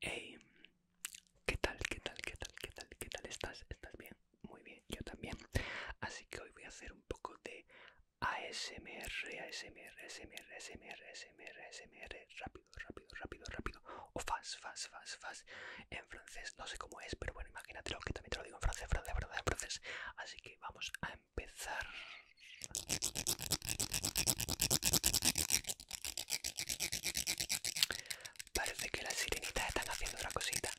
Hey, ¿qué tal? ¿Qué tal? ¿Qué tal? ¿Qué tal? ¿Qué tal estás? ¿Estás bien? Muy bien, yo también. Así que hoy voy a hacer un poco de ASMR, ASMR, ASMR, ASMR, ASMR, ASMR, rápido, rápido, rápido, rápido. O fast, fast, fast, fast. En francés, no sé cómo es, pero bueno, imagínate lo que también te lo digo en francés, francés, en francés. Así que vamos a empezar. Parece que las sirenitas están haciendo otra cosita.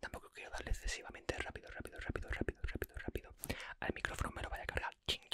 Tampoco quiero darle excesivamente rápido, rápido, rápido, rápido, rápido, rápido. Al micrófono me lo vaya a cargar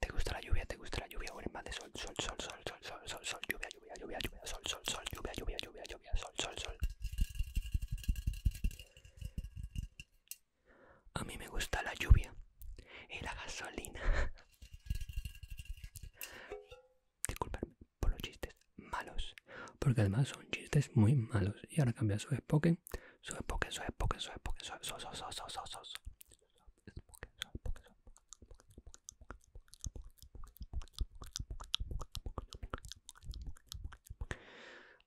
¿Te gusta la lluvia? ¿Te gusta la lluvia? ¿O en más de sol, sol, sol, sol, sol, sol, sol, sol, lluvia, lluvia, lluvia, lluvia, sol, sol, sol, lluvia, lluvia, lluvia, lluvia, sol, sol, sol? A mí me gusta la lluvia y la gasolina. sol, por los chistes malos, porque además son chistes muy malos. Y ahora cambia su Spoken, su Spoken, su Spoken, su Sol, sol, sol, sol, sol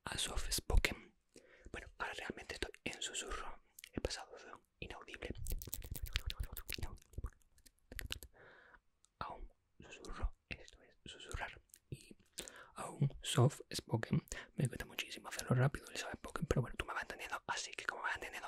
a soft spoken, Bueno, ahora realmente estoy en susurro. He pasado de inaudible a un susurro. Esto es susurrar. Y a un soft spoken. Me cuesta muchísimo hacerlo rápido el soft spoken, pero bueno, tú me vas entendiendo. Así que como me vas entendiendo,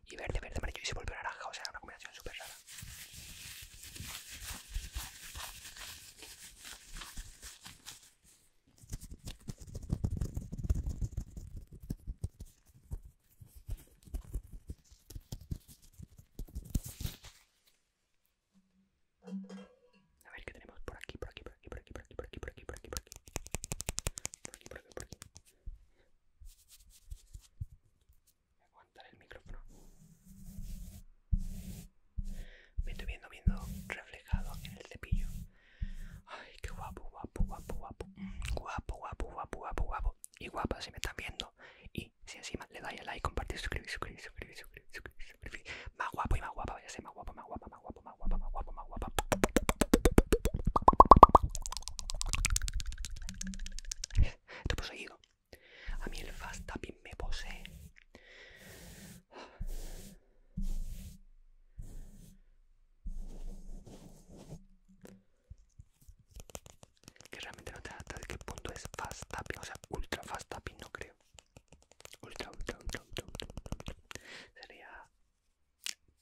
y verde, verde, amarillo y se vuelve naranja, o sea, una combinación súper rara. A ver qué tenemos por aquí, por aquí, por aquí, por aquí, por aquí, por aquí, por aquí, por aquí, por aquí, por aquí el micrófono. Me estoy viendo, viendo reflejado en el cepillo. Ay, qué guapo, guapo, guapo, guapo. Guapo, guapo, guapo, guapo, guapo. Y guapa si me están viendo. Y si encima le dais a like, compartir, suscribir, suscribir, suscribir, suscribir, Más guapo y más guapa, ya a ser más guapo, más guapa, más guapo, más guapa, más guapo más esto poseído. A mí el fast tapping me posee. Que realmente no te cuenta de qué punto es fast tapping, o sea, ultra fast tapping no creo. Ultra, ultra, ultra, ultra, ultra, ultra. Sería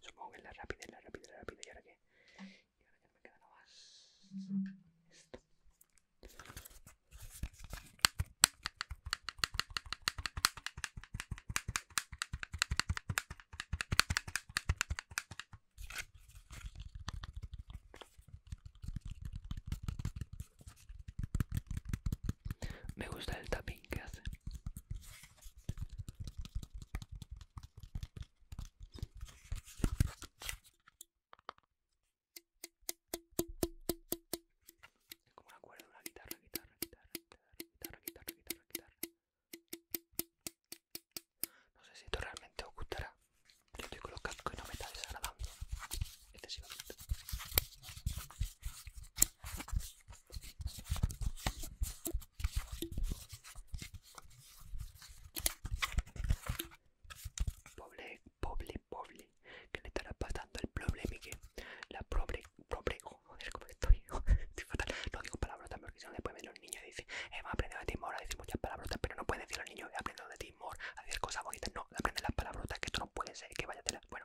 Supongo que la rápida, la rápida, la rápida. ¿Y ahora que Y ahora me queda nada más. Esto. Me gusta el tapping que hace como una cuerda, una guitarra, guitarra, guitarra, guitarra, guitarra, guitarra, guitarra. No sé si esto realmente os gustará. Yo estoy con los cascos y no me estás desagradando excesivamente. Pobre, pobre, pobre. que le estará pasando el problema? Que la problem pobre. Oh, joder, como estoy. fatal. No digo palabrotas porque si no después ven los niños y dicen, hemos aprendido de Timor a decir muchas palabrotas, pero no puede decir el niño niños, he aprendido de Timor a hacer cosas bonitas. No, aprender las palabrotas, que esto no puede ser, que váyatela. Bueno.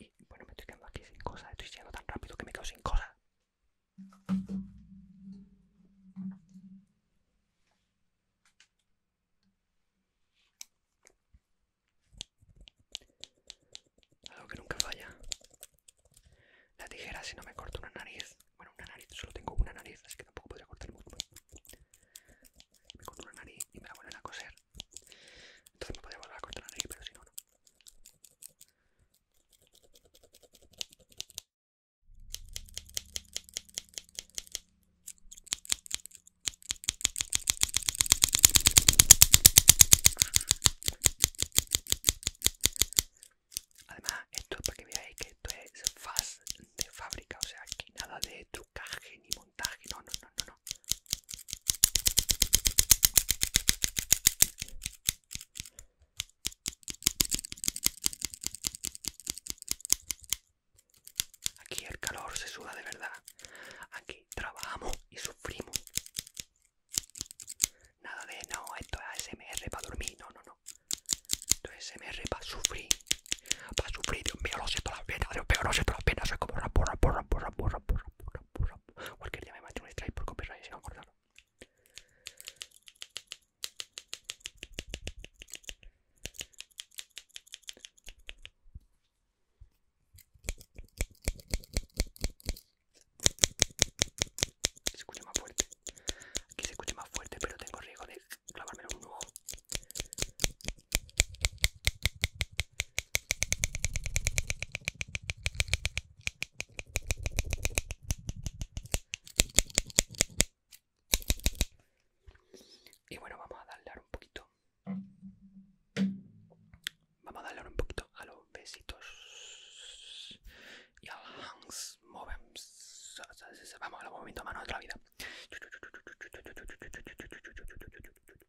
Y bueno, me estoy quedando aquí sin cosas. Estoy yendo tan rápido que me quedo sin cosas. Algo que nunca falla. La tijera, si no me corto una nariz. Bueno, una nariz, solo tengo una nariz, así que tampoco podría cortar mucho me corto la nariz y me la vuelven a coser. Entonces me podría volver a cortar la nariz, pero si no, no. Además, esto es para que veáis que esto es faz de fábrica, o sea, aquí nada de trucaje ni no, no, no, no, Aquí el calor se suda de verdad. Aquí trabajamos y sufrimos. Nada de no, esto es ASMR para dormir. No, no, no. Esto es ASMR para sufrir. Para sufrir, Dios mío, lo siento las pena, Dios mío, lo siento las penas. Soy como porra, porra, porra, porra, Cualquier día me macho un strike por copyright se va a acordarlo Se escucha más fuerte. Aquí se escucha más fuerte, pero tengo riesgo de clavármelo en un ojo. Y bueno, vamos a darle un poquito. Vamos a darle un poquito a los besitos y a los hands Vamos a los mano de la vida.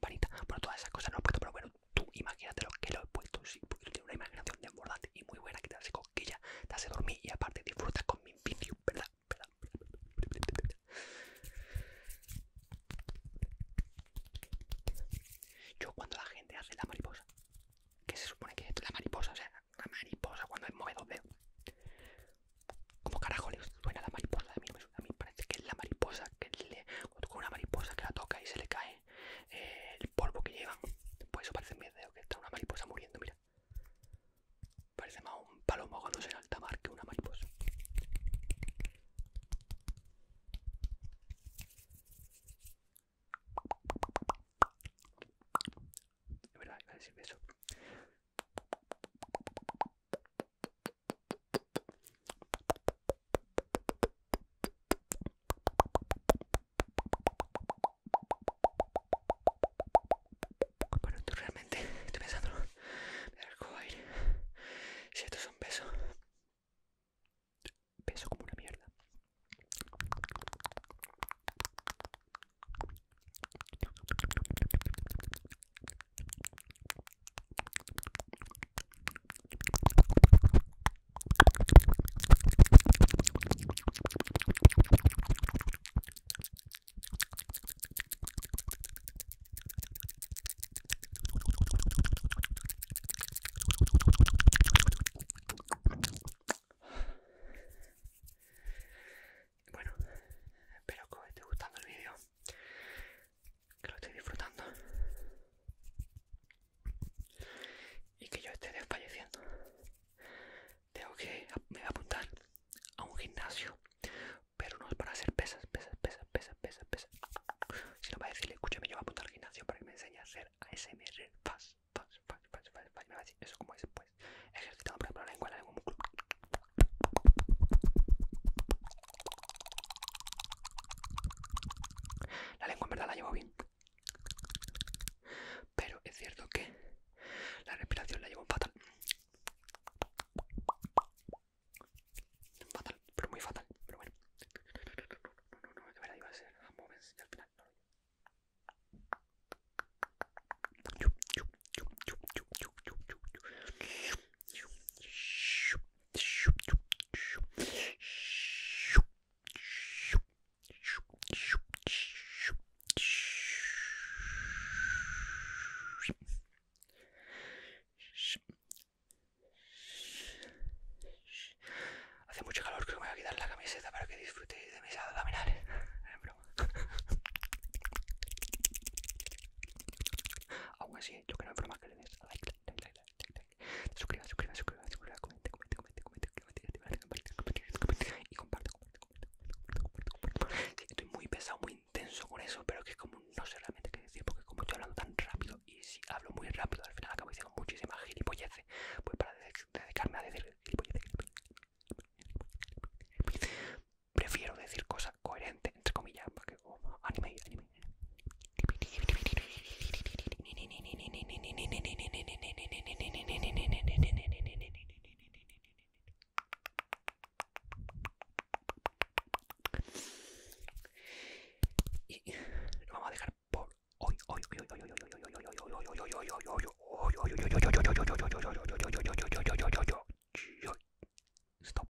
bueno, todas esas cosas no he puesto, pero bueno, tú imagínate lo que lo he puesto, sí, porque una imaginación desbordante y muy buena que te hace ya te hace dormir y aparte disfrutas con mi vídeo, ¿verdad? ¿verdad? Yo cuando la gente hace la mariposa, que se supone que es la mariposa, o sea, la mariposa cuando es dos veo como carajo le suena la mariposa? A mí, no me suena. a mí parece que es la mariposa que le, con una mariposa que la toca y se le cae eh, el polvo que llevan. Por pues eso parece en vez de que está una mariposa muriendo, mira. Parece más un palomo cuando se alta mar que una mariposa. verdad, pero tú realmente estoy pensando me arco aire. Si esto es un peso, peso como una mierda. Bueno, espero que te gustando el vídeo que lo esté disfrutando y que yo esté desfalleciendo. Tengo que me voy a apuntar a un gimnasio, pero no es para hacer pesas, pesas, pesas, pesas, pesas, pesas. va a decirle, escúchame, yo voy a apuntar al gimnasio para que me enseñe a hacer ASMR fast, fast, fast, fast, eso como es, pues, ejercitando por ejemplo la lengua, algún lengua, la lengua en verdad la llevo bien. Pero es cierto que la respiración la llevo fatal. Fatal, pero muy fatal. Pero bueno. a Hace mucho calor, que me voy a quitar la camiseta para que disfrutéis de mis abdominales. Aún así, yo que no es broma, Suscriban, suscriban, y estoy muy pesado, muy intenso con eso, pero que como no sé realmente qué decir, porque como estoy hablando tan rápido y si hablo muy rápido, al final acabo diciendo muchísimas pues para dedicarme a decir prefiero decir cosas coherentes, entre comillas, para que... Oh, anime, anime. Y lo vamos a dejar por hoy, hoy, Stop.